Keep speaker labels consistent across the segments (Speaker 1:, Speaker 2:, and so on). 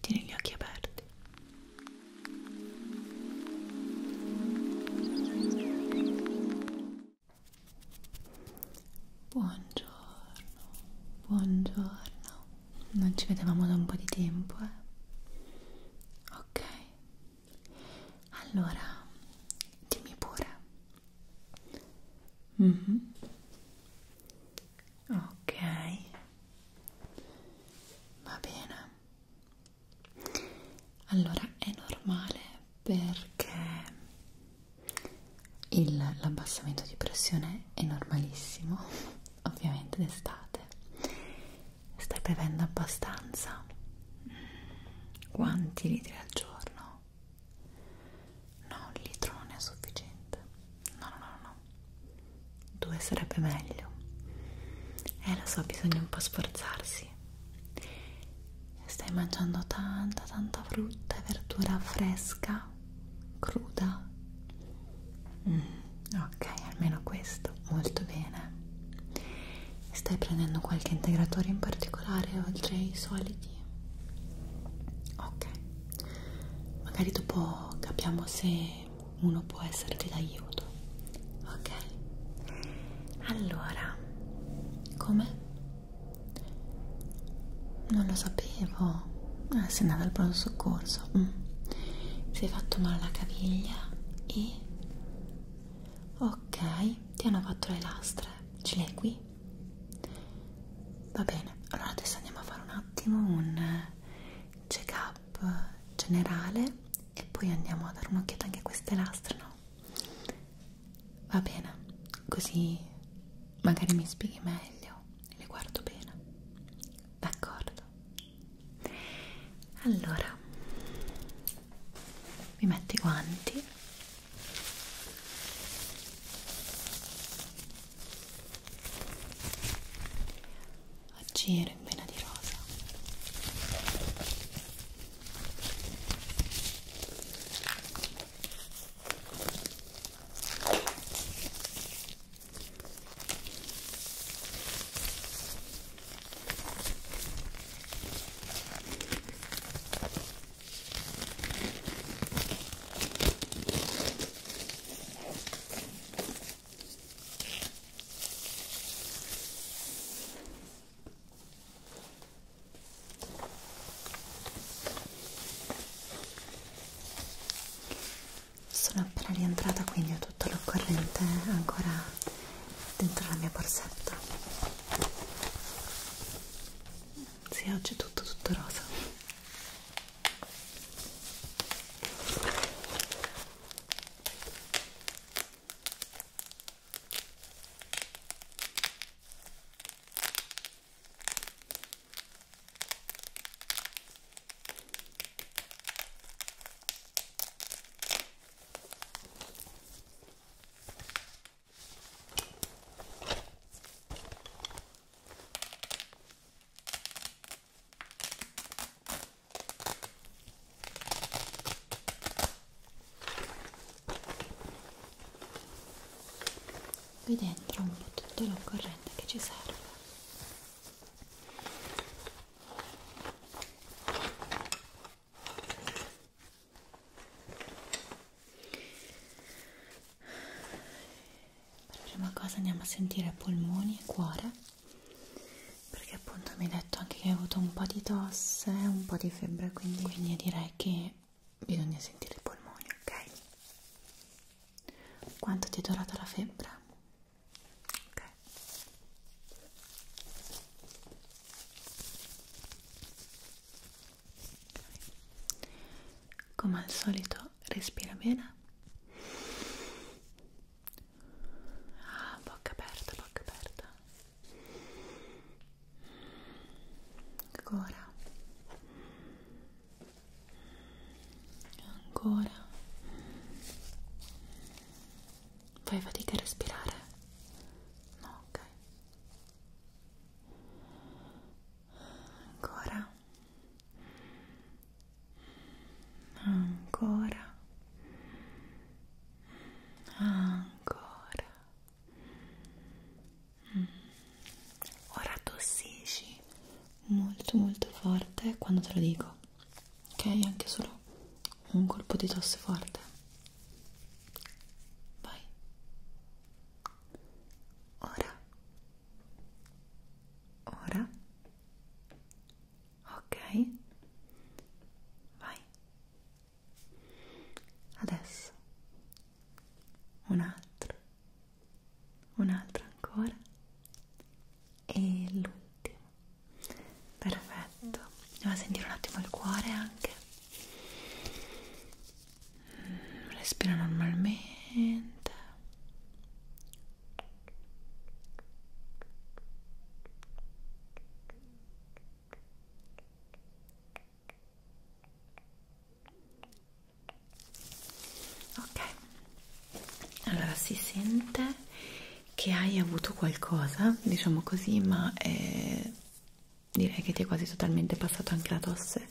Speaker 1: Tieni gli occhi aperti. Buongiorno, buongiorno. Non ci vedevamo da un po' di tempo, eh? Ok, allora, dimmi pure. Mm -hmm. Ok, va bene. Allora è normale perché l'abbassamento di pressione è normalissimo, ovviamente d'estate Stai bevendo abbastanza? Quanti litri al giorno? No, un litro non è sufficiente. No, no, no, no. Due sarebbe meglio. Eh, lo so, bisogna un po' sforzarsi. Stai mangiando tanta, tanta frutta e verdura fresca, cruda. Mm, ok, almeno questo. Perfetto, molto bene. Stai prendendo qualche integratore in particolare oltre ai soliti? Ok, magari dopo capiamo se uno può esserti d'aiuto. Ok, allora, come? Non lo sapevo. Ah, sei andata al pronto soccorso. Mm. Si è fatto male alla caviglia e ok ti hanno fatto le lastre ce le hai qui? va bene allora adesso andiamo a fare un attimo un check up generale e poi andiamo a dare un'occhiata anche a queste lastre no? va bene così magari mi spieghi meglio e le guardo bene d'accordo allora mi metto i guanti oggi ero in vena di rosa sono appena rientrata, quindi ho tutto l'occorrente ancora dentro la mia borsetta sì, oggi è tutto, tutto rosa qui dentro un po' tutto lo corrente che ci serve per prima cosa andiamo a sentire polmoni e cuore perché appunto mi hai detto anche che hai avuto un po' di tosse un po' di febbre quindi, quindi direi che bisogna sentire i polmoni ok quanto ti è durata la febbre ok come al solito respira bene ah, bocca aperta bocca aperta ancora ancora fai fatica a respirare no ok ancora ancora ancora mm. ora tossisci molto molto forte quando te lo dico ok anche solo un colpo di tosse forte Vai. Ora. Ora. Ok. Vai. Adesso. Un altro. Un altro ancora. E l'ultimo. Perfetto. Andiamo a sentire un attimo il cuore anche respira normalmente ok allora si sente che hai avuto qualcosa diciamo così ma è direi che ti è quasi totalmente passato anche la tosse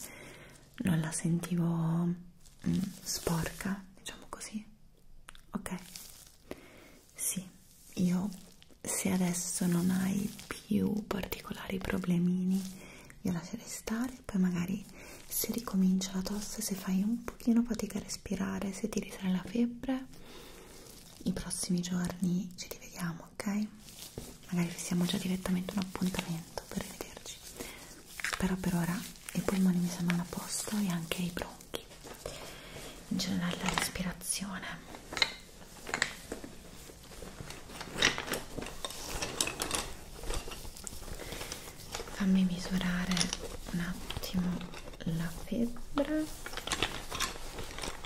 Speaker 1: non la sentivo mm, sporca diciamo così ok sì io se adesso non hai più particolari problemini io lascerei stare poi magari se ricomincia la tosse se fai un pochino fatica a respirare se ti risale la febbre i prossimi giorni ci rivediamo vediamo, ok? Magari siamo già direttamente un appuntamento per rivederci. Però per ora i polmoni mi sembrano a posto e anche i bronchi. In generale la respirazione. Fammi misurare un attimo la febbre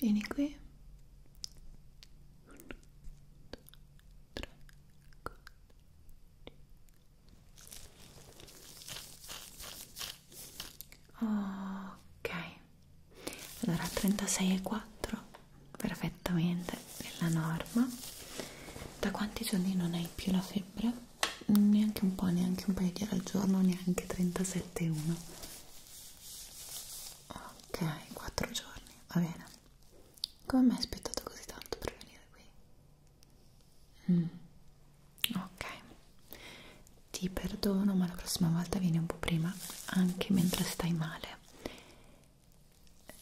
Speaker 1: Vieni qui. 1, 2, 3, 4. Ok. Allora 36 e 4. Perfettamente sempre nella norma da quanti giorni non hai più la febbre? neanche un po', neanche un paio di ore al giorno neanche 37,1 ok, 4 giorni, va bene come mai hai aspettato così tanto per venire qui? Mm. ok ti perdono ma la prossima volta vieni un po' prima anche mentre stai male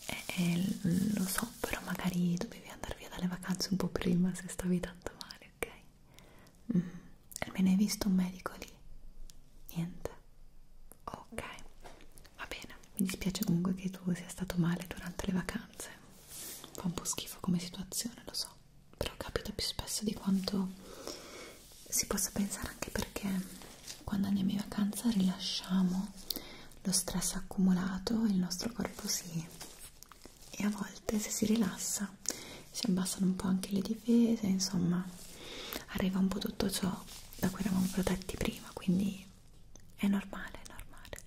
Speaker 1: eh, eh, lo so, però magari dovevi andare via dalle vacanze un po' prima se stavi tanto male, ok? Mm. Almeno hai visto un medico lì? Niente? Ok, va bene. Mi dispiace comunque che tu sia stato male durante le vacanze. Fa un po' schifo come situazione, lo so, però capita più spesso di quanto si possa pensare anche perché quando andiamo in vacanza rilasciamo lo stress accumulato il nostro corpo si e a volte se si rilassa si abbassano un po' anche le difese insomma arriva un po' tutto ciò da cui eravamo protetti prima quindi è normale è normale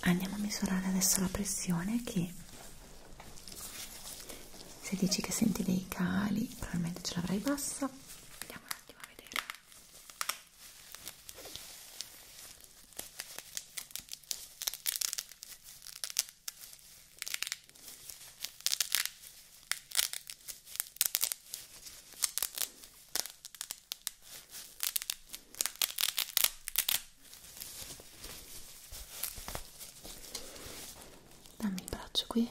Speaker 1: andiamo a misurare adesso la pressione che se dici che senti dei cali probabilmente ce l'avrai bassa andiamo un attimo a vedere dammi il braccio qui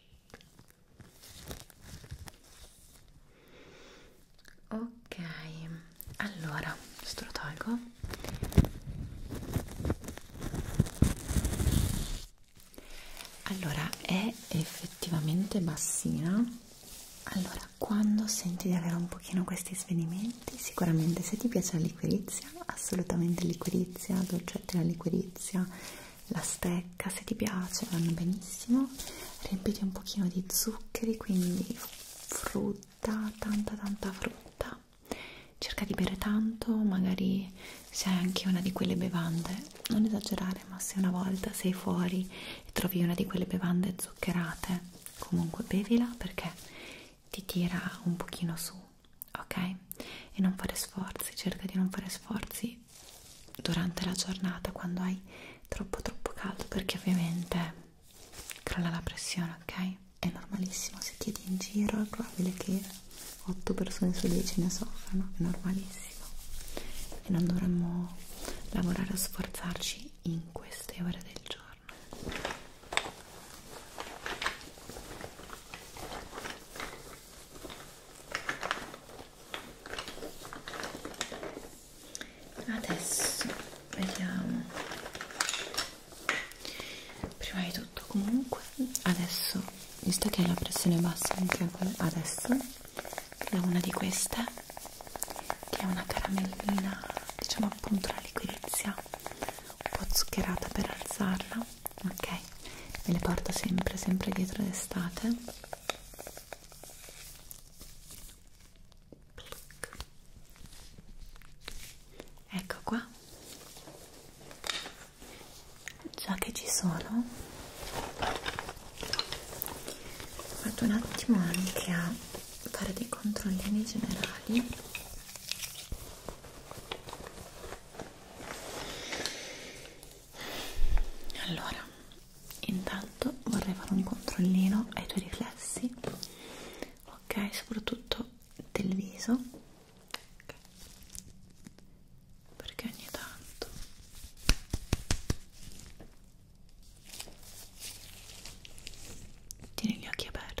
Speaker 1: ok allora questo lo tolgo allora è effettivamente bassina allora quando senti di avere un pochino questi svenimenti sicuramente se ti piace la liquirizia assolutamente liquirizia dolcetto la liquirizia la stecca se ti piace vanno benissimo riempiti un pochino di zuccheri quindi frutta tanta tanta frutta cerca di bere tanto magari se hai anche una di quelle bevande non esagerare ma se una volta sei fuori e trovi una di quelle bevande zuccherate comunque bevila perché ti tira un pochino su ok? E non fare sforzi, cerca di non fare sforzi durante la giornata quando hai troppo troppo caldo perché ovviamente crolla la pressione, ok? È normalissimo, se chiedi in giro è probabile che 8 persone su 10 ne soffrano, è normalissimo e non dovremmo lavorare o sforzarci in queste ore del giorno adesso vediamo prima di tutto comunque adesso visto che hai la pressione bassa anche adesso è una di queste che è una caramellina diciamo appunto la liquirizia un po' zuccherata per alzarla ok me le porto sempre sempre dietro d'estate ecco qua già che ci sono vado un attimo anche a fare dei controllini generali allora intanto vorrei fare un controllino ai tuoi riflessi ok soprattutto del viso okay. perché ogni tanto tieni gli occhi aperti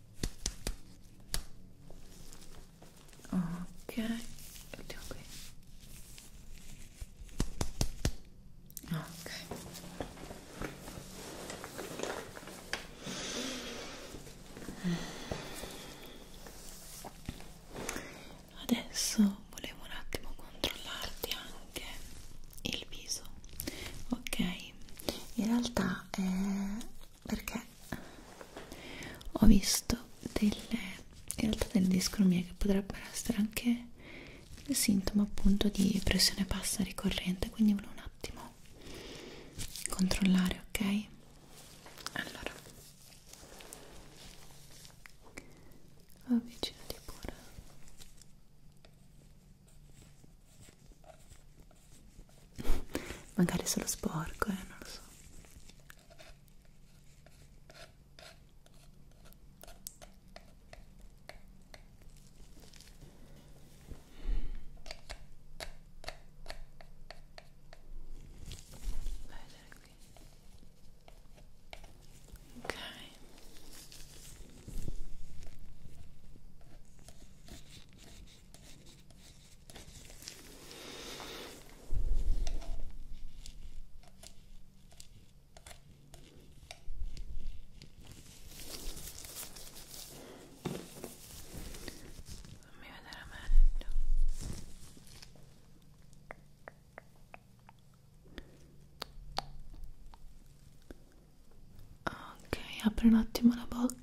Speaker 1: ok mettiamo qui ok adesso volevo un attimo controllarti anche il viso ok in realtà è perché ho visto delle in realtà delle discromie che potrebbero essere anche il sintomo appunto di pressione bassa ricorrente quindi volevo un attimo controllare ok allora avvicinati pure Magari è solo sporco, eh, non lo so. Qui. Ok. Fammi vedere meglio ok apri un attimo la bocca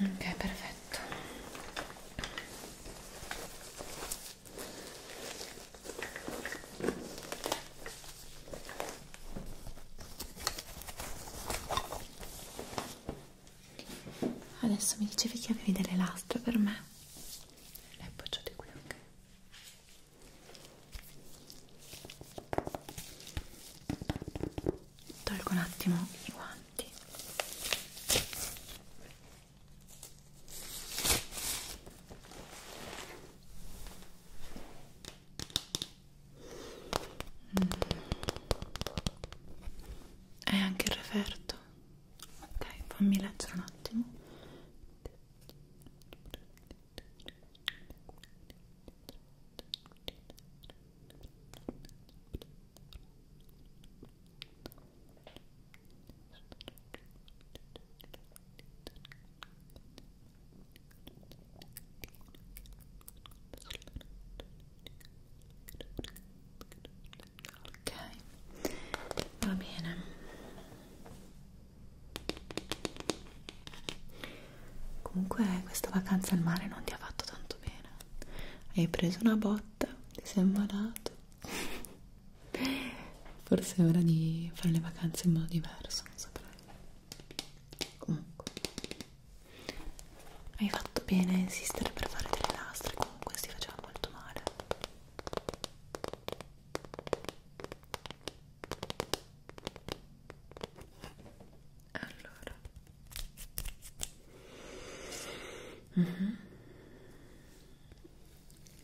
Speaker 1: ok perfetto Adesso mi dicevi che avevi delle lastre per me. Le appoggiate qui, ok? Tolgo un attimo i guanti. Mm. è anche il referto ok fammi leggere un attimo ok va bene comunque questa vacanza al mare non ti ha fatto tanto bene hai preso una botta ti sei immalato forse è ora di fare le vacanze in modo diverso non saprei comunque hai fatto bene a insistere per fare delle lastre, comunque si faceva molto male. Allora. Mm -hmm.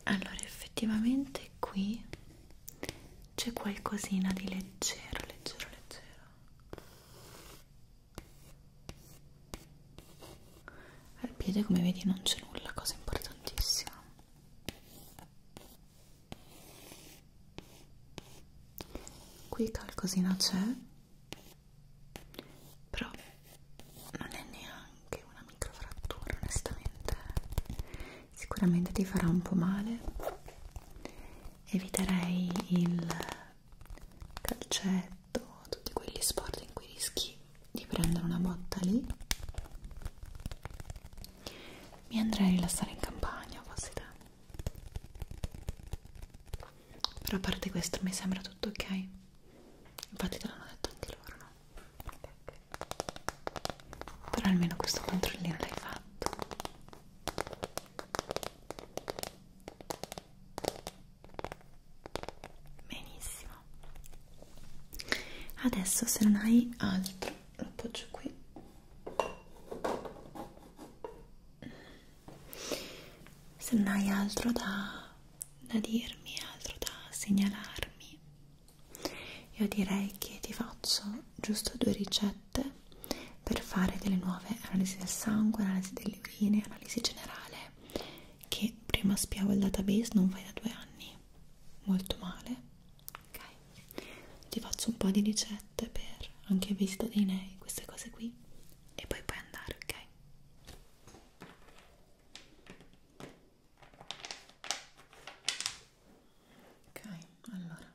Speaker 1: Allora, effettivamente qui c'è qualcosina di leggero, leggero, leggero al piede come vedi non c'è nulla cosa importantissima qui qualcosina c'è però non è neanche una microfrattura onestamente sicuramente ti farà un po' male eviterei il calcetto, tutti quegli sport in cui rischi di prendere una botta lì. Mi andrei a rilassare in campagna, fossi te. Però a parte questo mi sembra tutto ok. Infatti te l'hanno detto anche loro, no? Okay, okay. Però almeno questo controllino l'hai fatto benissimo adesso se non hai altro lo appoggio qui se non hai altro da, da dirmi altro da segnalarmi io direi che ti faccio giusto due ricette per fare delle nuove analisi del sangue, analisi delle urine, analisi generale che prima spiavo il database non fai da due anni molto male ok ti faccio un po' di ricette per anche visita dei nei queste cose qui e poi puoi andare ok ok allora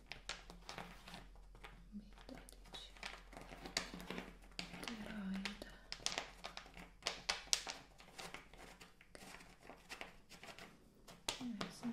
Speaker 1: Toroide. Okay. There's a no.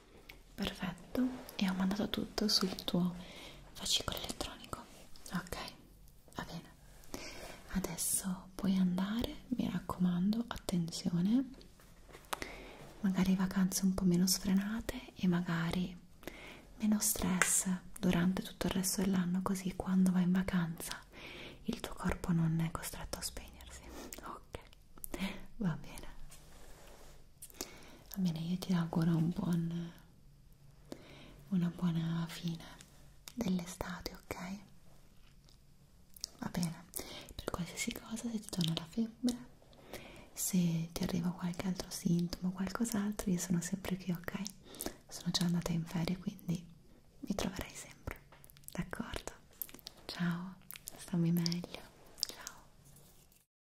Speaker 1: perfetto e ho mandato tutto sul tuo fascicolo elettronico ok va bene adesso puoi andare mi raccomando attenzione magari vacanze un po' meno sfrenate e magari meno stress durante tutto il resto dell'anno così quando vai in vacanza il tuo corpo non è costretto a spegnersi ok va bene va bene io ti auguro un buon una buona fine dell'estate ok va bene per qualsiasi cosa se ti torna la febbre se ti arriva qualche altro sintomo qualcos'altro io sono sempre qui ok sono già andata in ferie quindi mi troverai sempre d'accordo ciao stammi meglio ciao